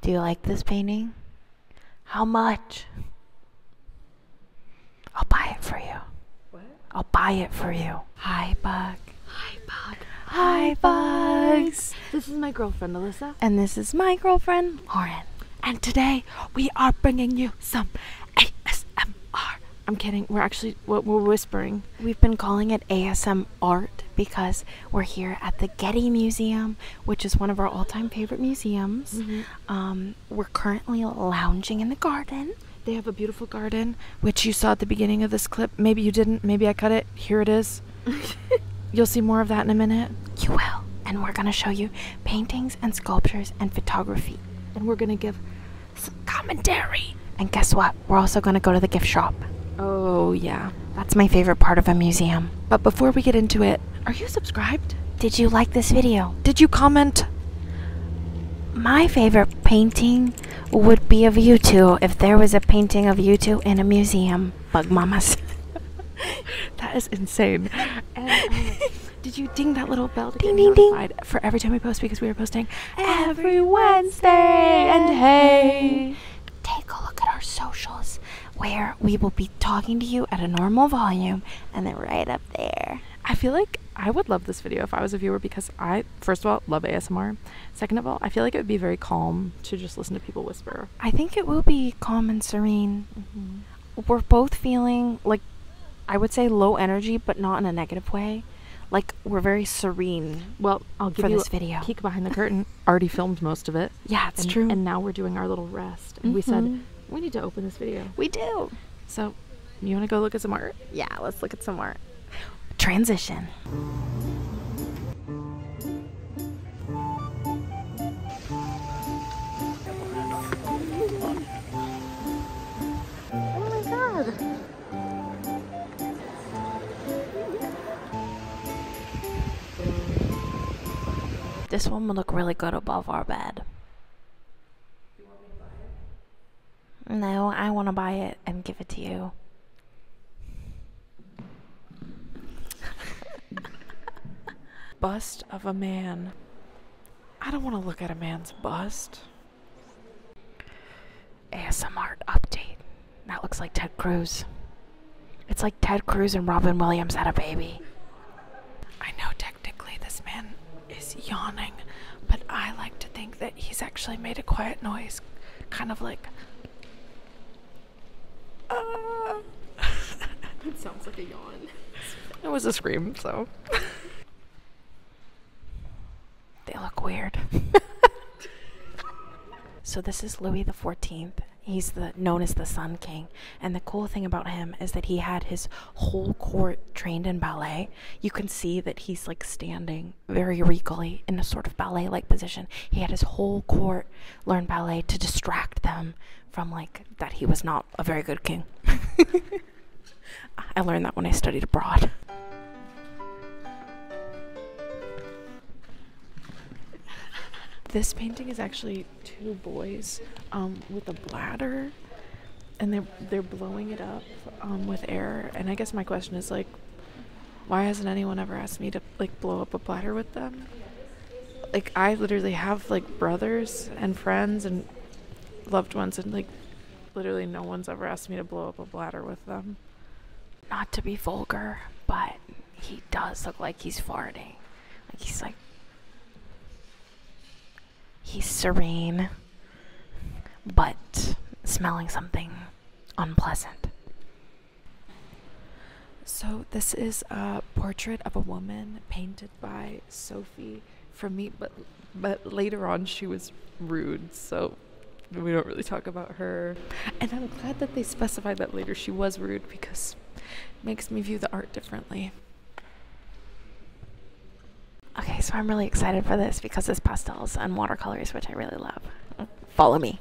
Do you like this painting? How much? I'll buy it for you. What? I'll buy it for you. Hi, Bug. Hi, Bug. Hi, Bugs. This is my girlfriend, Alyssa. And this is my girlfriend, Lauren. And today we are bringing you some ASMR. I'm kidding. We're actually, we're, we're whispering. We've been calling it ASM art because we're here at the Getty Museum which is one of our all-time favorite museums. Mm-hmm. Um, we're currently lounging in the garden. They have a beautiful garden, which you saw at the beginning of this clip. Maybe you didn't. Maybe I cut it. Here it is. You'll see more of that in a minute. You will. And we're going to show you paintings and sculptures and photography. And we're going to give some commentary. And guess what? We're also going to go to the gift shop. Oh, yeah yeah, that's my favorite part of a museum. But before we get into it, are you subscribed? Did you like this video? Did you comment? My favorite painting would be of you two if there was a painting of you two in a museum. Bug mamas. that is insane. And, um, did you ding that little bell to ding, get ding, notified ding. for every time we post because we were posting every Wednesday and hey take a look at our socials where we will be talking to you at a normal volume and then right up there. I feel like I would love this video if I was a viewer because I, first of all, love ASMR. Second of all, I feel like it would be very calm to just listen to people whisper. I think it will be calm and serene. Mm-hmm. We're both feeling like, I would say low energy, but not in a negative way. Like, we're very serene. Well, I'll give you this video. a peek behind the curtain. already filmed most of it. Yeah, it's true. And now we're doing our little rest. And we said, mm-hmm. we need to open this video. We do. So, you want to go look at some art? Yeah, let's look at some art. Transition. Oh my god. This one will look really good above our bed. No, I want to buy it and give it to you. bust of a man. I don't want to look at a man's bust. ASMR update. That looks like Ted Cruz. It's like Ted Cruz and Robin Williams had a baby. I know technically this man is yawning, but I like to think that he's actually made a quiet noise, kind of like. Uh. that sounds like a yawn. It was a scream, so. They look weird. so this is Louis the 14th. He's the known as the Sun King, and the cool thing about him is that he had his whole court trained in ballet. You can see that he's like standing very regally in a sort of ballet-like position. He had his whole court learn ballet to distract them from like that he was not a very good king. I learned that when I studied abroad. this painting is actually two boys um, with a bladder, and they're they're blowing it up um, with air. And I guess my question is like, why hasn't anyone ever asked me to like blow up a bladder with them? Like I literally have like brothers and friends and loved ones, and like Literally no one's ever asked me to blow up a bladder with them. Not to be vulgar, but he does look like he's farting. Like he's like he's serene, but smelling something unpleasant. So, this is a portrait of a woman painted by Sophie from me, but but later on she was rude, so we don't really talk about her. And I'm glad that they specified that later she was rude because it makes me view the art differently. Okay, so I'm really excited for this because it's pastels and watercolors, which I really love. Follow me.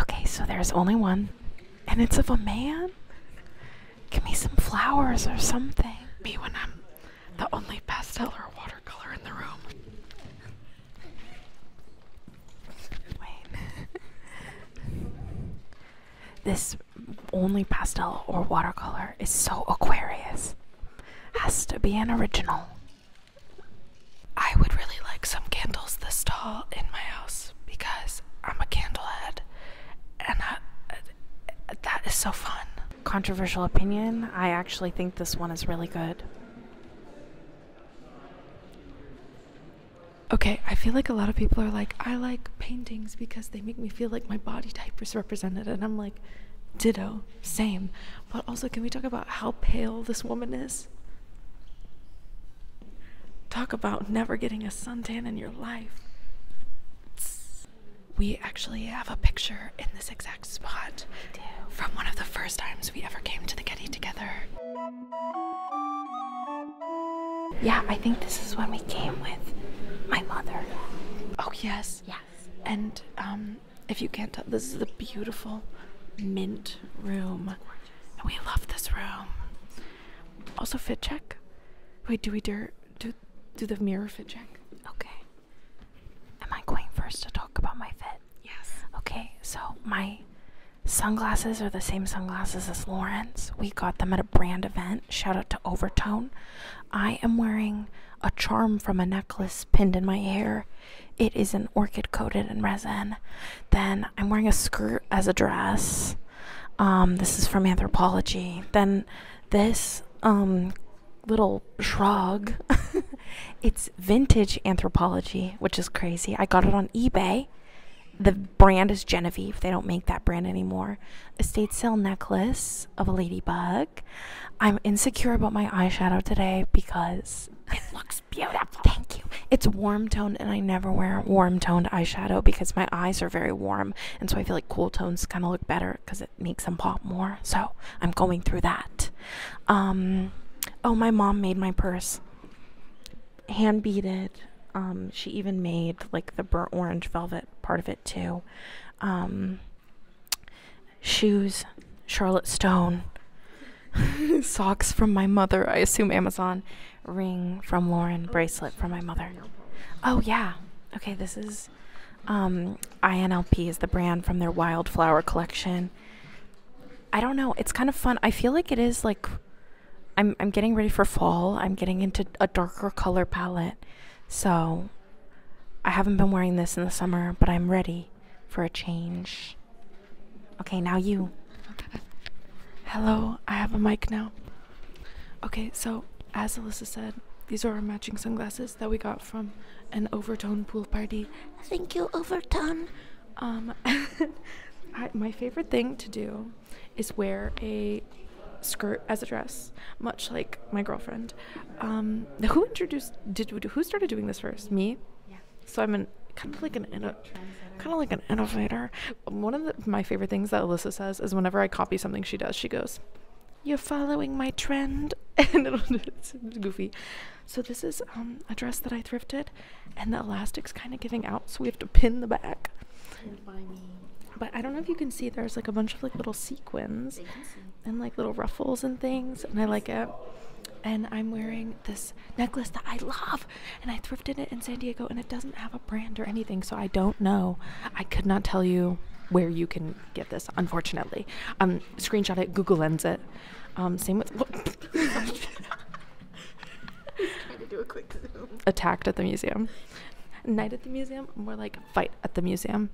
Okay, so there's only one, and it's of a man? Give me some flowers or something. Me when I'm the only pastel or watercolor in the room. Wait. this only pastel or watercolor is so Aquarius. Has to be an original. I would really like some candles this tall in my house because I'm a candlehead and that is so fun. Controversial opinion, I actually think this one is really good. Okay, I feel like a lot of people are like, I like paintings because they make me feel like my body type is represented. And I'm like, ditto, same. But also, can we talk about how pale this woman is? Talk about never getting a suntan in your life. We actually have a picture in this exact spot from one of the first times we ever came to the Getty together. Yeah, I think this is when we came with my mother. Oh, yes. Yes. And um, if you can't tell, this is the beautiful mint room. And we love this room. Also, fit check. Wait, do we do do the mirror fit check? Okay. Am I going first to talk about my fit? Yes. Okay, so my sunglasses are the same sunglasses as Lauren's. We got them at a brand event. Shout out to Overtone. I am wearing a charm from a necklace pinned in my hair it is an orchid coated in resin. Then I'm wearing a skirt as a dress. Um, this is from Anthropology. Then this um, little shrug. it's vintage Anthropology, which is crazy. I got it on eBay. The brand is Genevieve. They don't make that brand anymore. Estate sale necklace of a ladybug. I'm insecure about my eyeshadow today because it looks beautiful. Thank you. It's warm toned, and I never wear warm toned eyeshadow because my eyes are very warm, and so I feel like cool tones kind of look better because it makes them pop more. So I'm going through that. Um, oh, my mom made my purse, hand beaded. Um, she even made like the burnt orange velvet part of it too. Um, shoes, Charlotte Stone, socks from my mother, I assume Amazon, ring from Lauren, bracelet from my mother. Oh, yeah. Okay, this is um, INLP is the brand from their wildflower collection. I don't know. It's kind of fun. I feel like it is like I'm I'm getting ready for fall. I'm getting into a darker color palette. So I haven't been wearing this in the summer, but I'm ready for a change. Okay, now you. Hello, I have a mic now. Okay, so as Alyssa said, these are our matching sunglasses that we got from an overtone pool party. Thank you, overtone. Um, my favorite thing to do is wear a skirt as a dress, much like my girlfriend. Um, who introduced? Did who started doing this first? Me. Yeah. So I'm kind of like an kind of like an innovator. One of my favorite things that Alyssa says is whenever I copy something she does, she goes, "You're following my trend," and it's goofy. So this is um, a dress that I thrifted, and the elastic's kind of giving out, so we have to pin the back. But I don't know if you can see. There's like a bunch of like little sequins, and like little ruffles and things, and I like it. And I'm wearing this necklace that I love, and I thrifted it in San Diego, and it doesn't have a brand or anything, so I don't know. I could not tell you where you can get this, unfortunately. Um, screenshot it, Google Lens it. Um, same with. Attacked at the museum. Night at the museum, more like fight at the museum.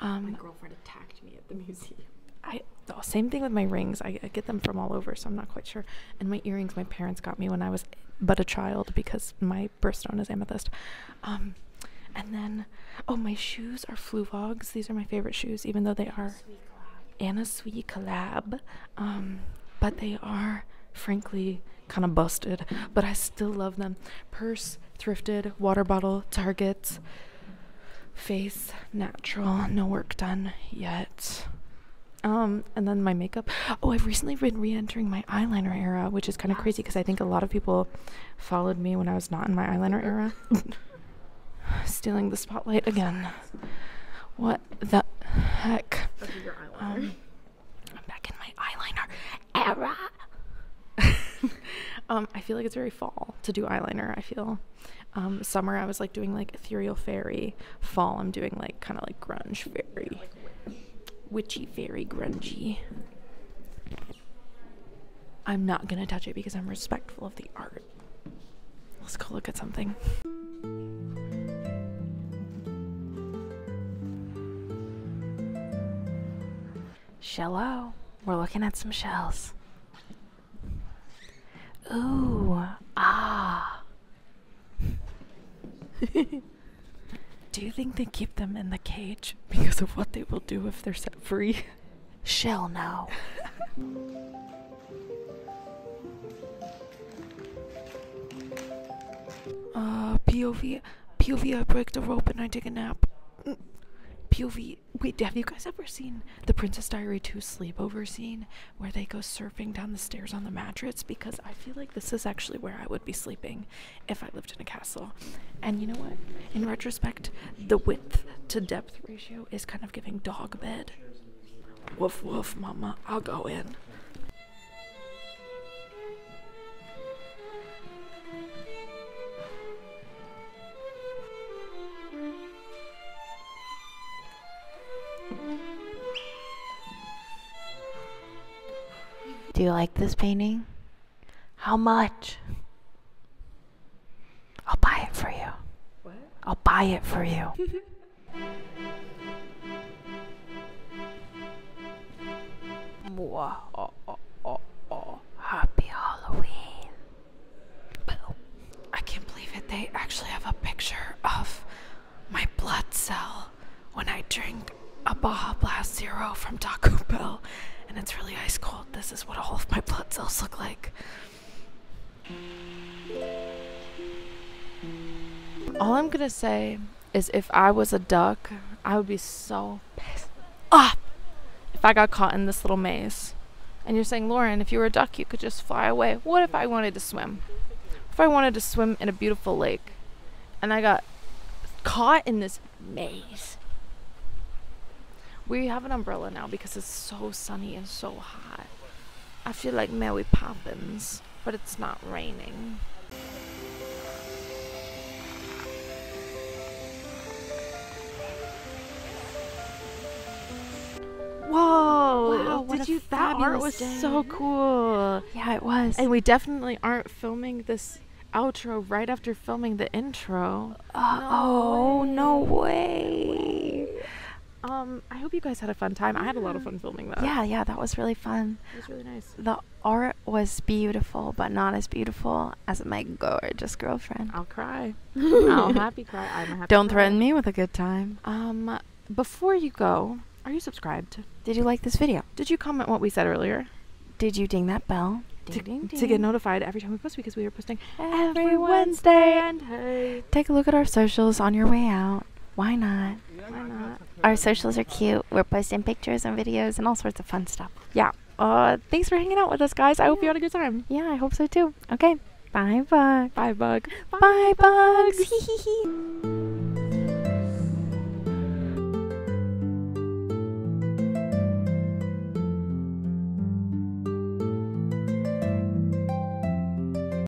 My um, girlfriend attacked me the museum. I oh, same thing with my rings. I, get them from all over, so I'm not quite sure. And my earrings, my parents got me when I was but a child because my birthstone is amethyst. Um, and then, oh, my shoes are Fluvogs. These are my favorite shoes, even though they are Anna Sui collab. Um, but they are frankly kind of busted, but I still love them. Purse, thrifted, water bottle, Target face natural no work done yet um, and then my makeup oh i've recently been re-entering my eyeliner era which is kind of crazy because i think a lot of people followed me when i was not in my eyeliner era stealing the spotlight again what the heck um, i'm back in my eyeliner era. Um, I feel like it's very fall to do eyeliner. I feel um, summer I was like doing like ethereal fairy. Fall I'm doing like kind of like grunge fairy, witchy fairy grungy. I'm not gonna touch it because I'm respectful of the art. Let's go look at something. Shello. We're looking at some shells. Ooh. Ah. do you think they keep them in the cage because of what they will do if they're set free? Shell no. uh POV POV, I break the rope and I take a nap. POV, wait, have you guys ever seen the Princess Diary 2 sleepover scene where they go surfing down the stairs on the mattresses? Because I feel like this is actually where I would be sleeping if I lived in a castle. And you know what? In retrospect, the width to depth ratio is kind of giving dog bed. Woof, woof, mama, I'll go in. Do you like this painting? How much? I'll buy it for you. I'll buy it for you. Oh, Happy Halloween. I can't believe it. They actually have a picture of my blood cell when I drink a Baja Blast Zero from Taco Bell. And it's really ice cold. This is what all of my blood cells look like. All I'm gonna say is if I was a duck, I would be so pissed off if I got caught in this little maze. And you're saying, Lauren, if you were a duck, you could just fly away. What if I wanted to swim? If I wanted to swim in a beautiful lake and I got caught in this maze? We have an umbrella now because it's so sunny and so hot. I feel like Mary Poppins but it's not raining. Whoa! Wow, did you? That art was so cool. Yeah, it was. And we definitely aren't filming this outro right after filming the intro. oh no way! Um, I hope you guys had a fun time. I had a lot of fun filming that. Yeah, yeah, that was really fun it was really nice. The art was beautiful, but not as beautiful as my gorgeous girlfriend. I'll cry. I'll happy cry. I'm happy. Don't threaten me with a good time. Um, before you go, are you subscribed? Did you like this video? Did you comment what we said earlier? Did you ding that bell? to, get notified every time we post because we are posting every, Wednesday. And take a look at our socials on your way out. Why not? not? Why not? Our socials are cute. We're posting pictures and videos and all sorts of fun stuff. Yeah. Uh, thanks for hanging out with us, guys. I hope you had a good time. Yeah, I hope so too. Okay. Bye, bug. Bye, bug. Bye, Bye bugs. bugs.